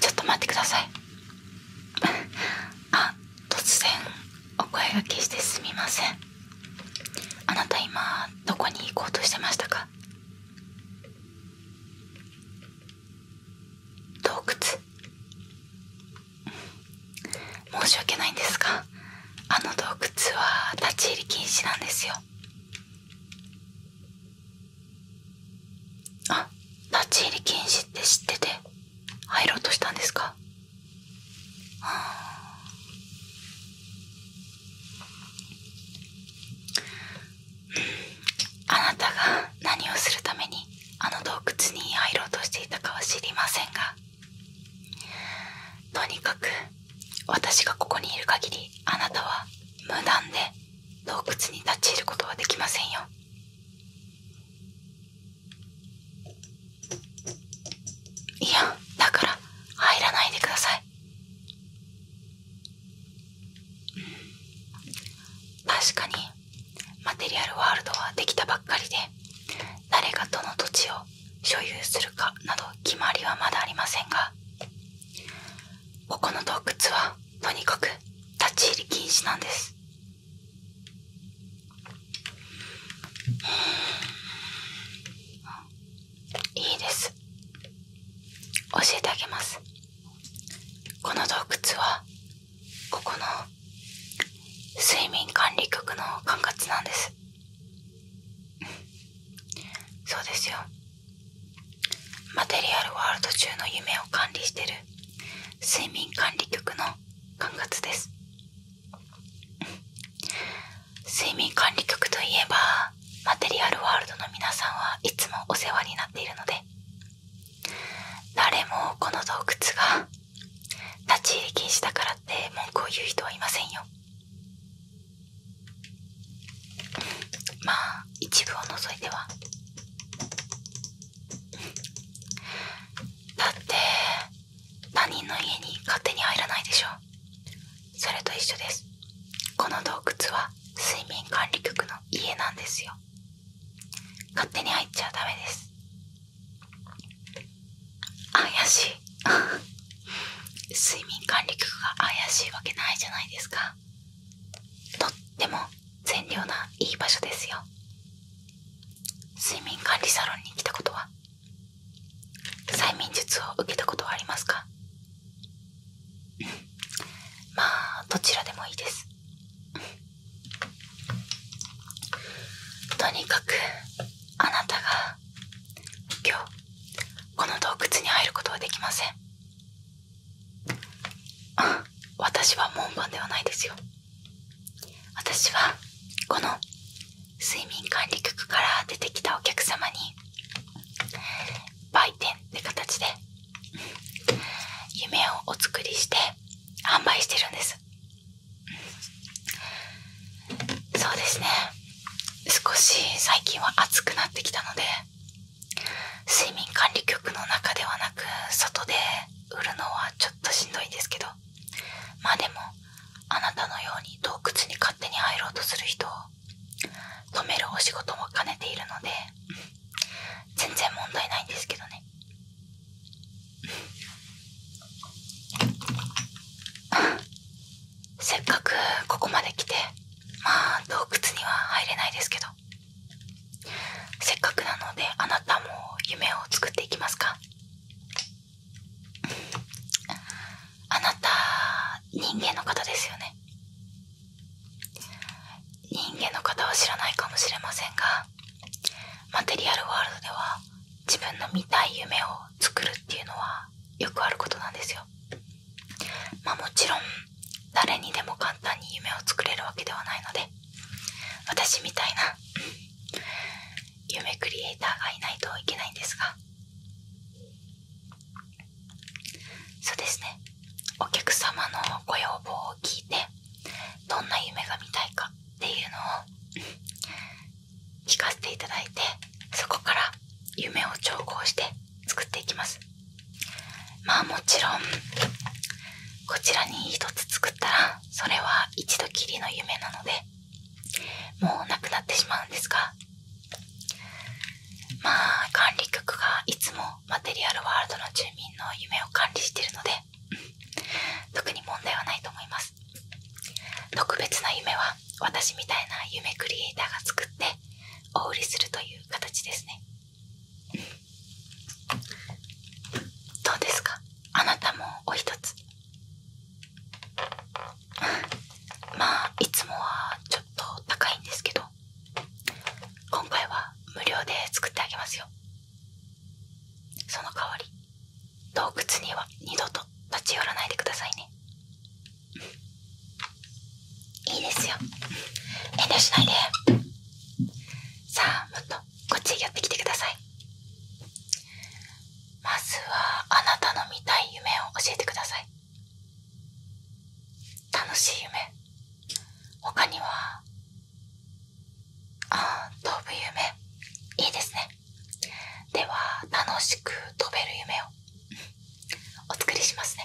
ちょっと待ってください あ突然お声がけしてすみませんあなた今どこに行こうとしてましたか洞窟申し訳ないんですがあの洞窟は立ち入り禁止なんですよあ立ち入り禁止って知ってて入ろうとしたんですかああなたが何をするためにあの洞窟に入ろうとしていたかは知りませんがとにかく私がここにいる限りあなたは無断で洞窟に立ち入ることはできませんよいやだから入らないでください確かにマテリアルワールドはできたばっかりで誰がどの土地を所有するかなど決まりはまだありませんがここの洞窟はとにかく立ち入り禁止なんですいいです教えてあげますこの洞窟はここの睡眠管理局の管轄なんですそうですよマテリアルワールド中の夢を管理してる睡眠管理局の管轄です睡眠管理局といえばマテリアルワールドの皆さんはいつもお世話になっているので誰もこの洞窟が立ち入り禁止だからって文句を言う人はいませんよまあ一部を除いてはだって他人の家に勝手に入らないでしょう。それと一緒ですこの洞窟は睡眠管理局の家なんですよ勝手に入っちゃダメです怪しい睡眠管理局が怪しいわけないじゃないですかとっても善良ないい場所ですよ睡眠管理サロンに来たことは催眠術を受けたことはありますかまあどちらでもいいです。とにかくあなたが今日この洞窟に入ることはできません私は門番ではないですよ私はこの睡眠管理局から出てきたお客様に売店って形で夢をお作りして販売してるんですそうですね少し最近は暑くなってきたので睡眠管理局の中ではなく外で売るのはちょっとしんどいですけどまあでもあなたのように洞窟に勝手に入ろうとする人を止めるお仕事も兼ねているので、全然問題ないんですけどね せっかくここまで来てまあ洞窟には入れないですけどせっかくなのであなたも夢を作っていきますか あなた人間の方ですよね人間の方は知らないかもしれませんがマテリアルワールドでは自分の見たい夢を作るっていうのはよくあることなんですよまあもちろん誰にでも簡単に夢を作れるわけではないので私みたいな夢クリエイターがいないといけないんですがそうですねお客様のご要望を聞いてどんな夢が見たいかっていうのを聞かせていただいてそこから夢を調合して作っていきますまあもちろんこちらに一つ作ったらそれは一度きりの夢なのでもうなくなってしまうんですがまあ管理局がいつもマテリアルワールドの住民の夢を管理しているので、特に問題はないと思います特別な夢は私みたいな夢クリエイターが作ってお売りするという形ですねどうですかあなたもお一つ まあいつもはちょっと高いんですけど今回は無料で作ってあげますよその代わり洞窟には二度と立ち寄らないでくださいねいいですよ遠慮しないでさあもっとこっちへ寄ってきてくださいまずはあなたの見たい夢を教えてください楽しい夢他にはあ飛ぶ夢いいですねでは楽しく飛べる夢をお作りしますね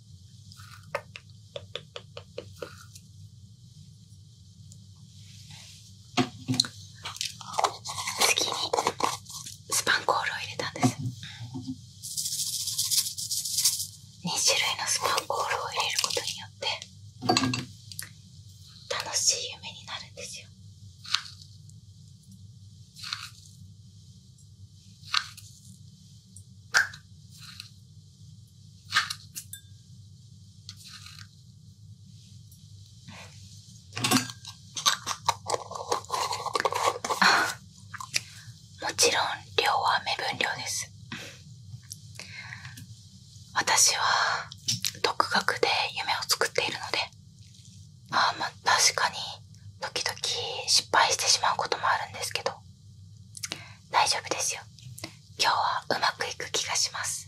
次にスパンコールを入れたんです2種類のスパンコールを入れることによって楽しい夢になるんですよああ。もちろん量は目分量です私は独学で夢を作っているのでああまあ確かに時々失敗してしまうこともあるんですけど大丈夫ですよ今日はうまくいく気がします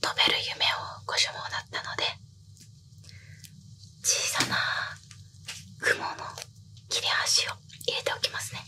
飛べる夢をご所望だったので小さな雲の切れ端を入れておきますね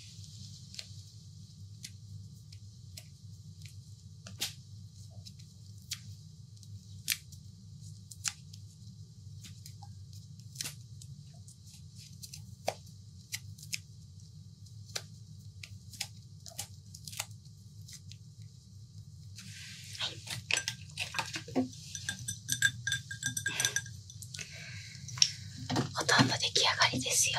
ほとんど出来上がりですよ。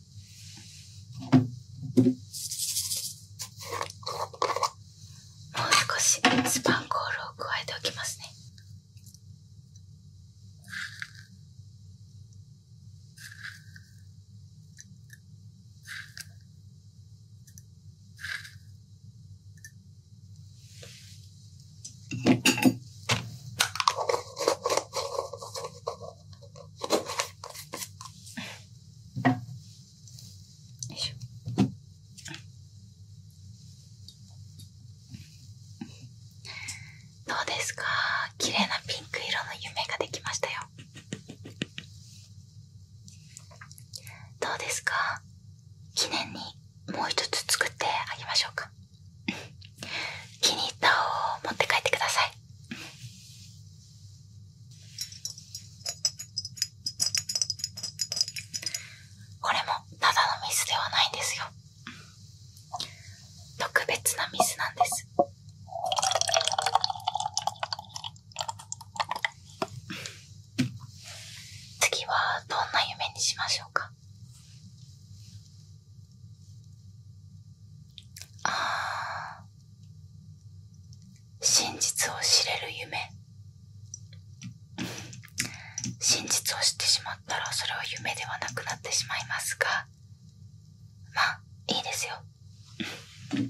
もう少しスパンコールを加えておきますねどうですかきれいなピンク色の夢ができましたよどうですか記念にもう一つ作ってあげましょうか 気に入ったを持って帰ってくださいこれもただのミスではないんですよ特別なミスなんです次はどんな夢にしましょうかああ真実を知れる夢真実を知ってしまったらそれは夢ではなくなってしまいますがまあいいですようん。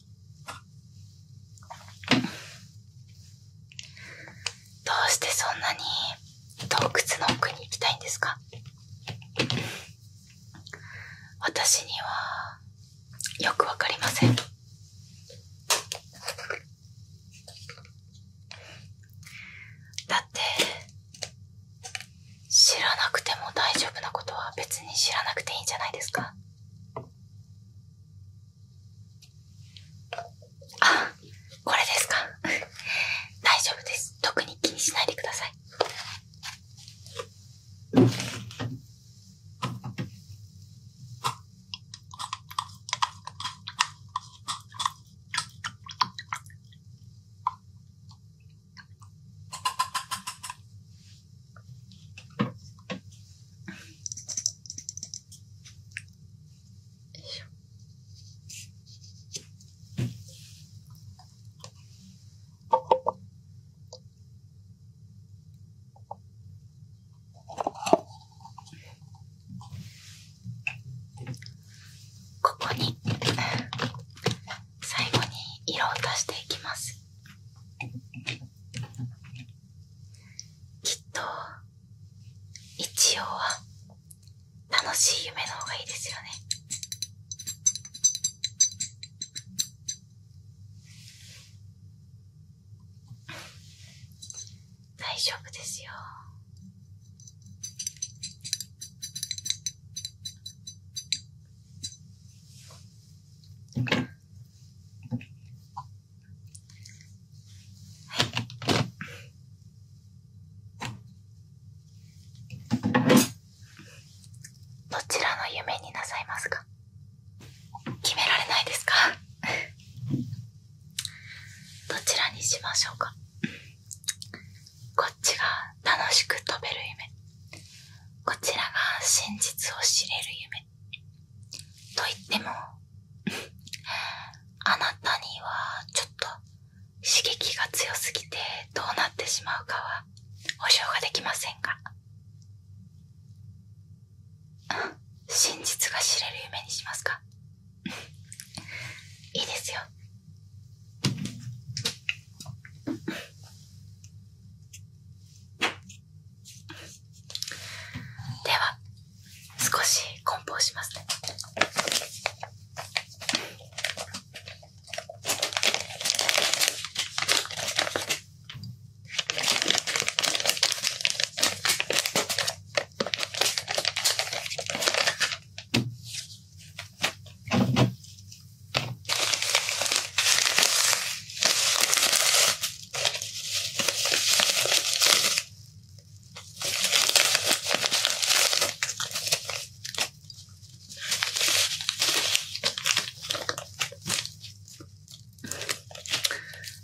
どうしてそんなに洞窟の奥に行きたいんですか私にはよくわかりませんだって知らなくても大丈夫なことは別に知らなくていいんじゃないですかあ、これですか 大丈夫です。特に気にしないでください。ここに最後に色を足していきます。きっと一応は楽しい夢の方がいいですよね大丈夫ですよどちらの夢になさいますか決められないですかどちらにしましょうかこっちが楽しく飛べる夢こちらが真実を知れる夢と言っても あなたにはちょっと刺激が強すぎてどうなってしまうかは保証ができませんが 真実が知れる夢にしますか いいですよでは少し梱包しますね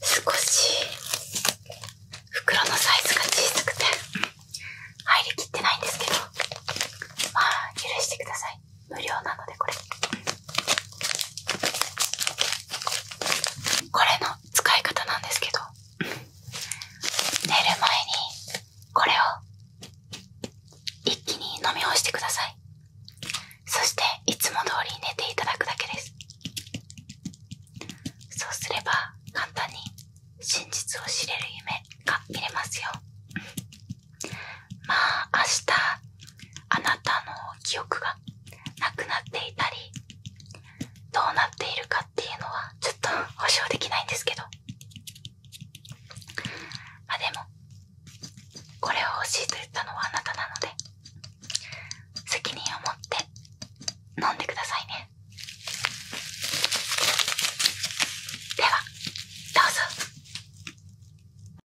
少し袋のサイズが小さくて入りきってないんですけどまあ許してください。無料なのでこれこれの使い方なんですけど寝る前にこれを一気に飲み干してくださいそしていつも通り寝ていただくだけですそうすれば簡単に真実を知れる夢が見れますよまあ明日あなたの記憶がなくなっていたりどうなっているかっていうのはちょっと保証できないんですけどあでもこれを欲しいと言ったのはあなたなので責任を持って飲んでくださいねではどうぞ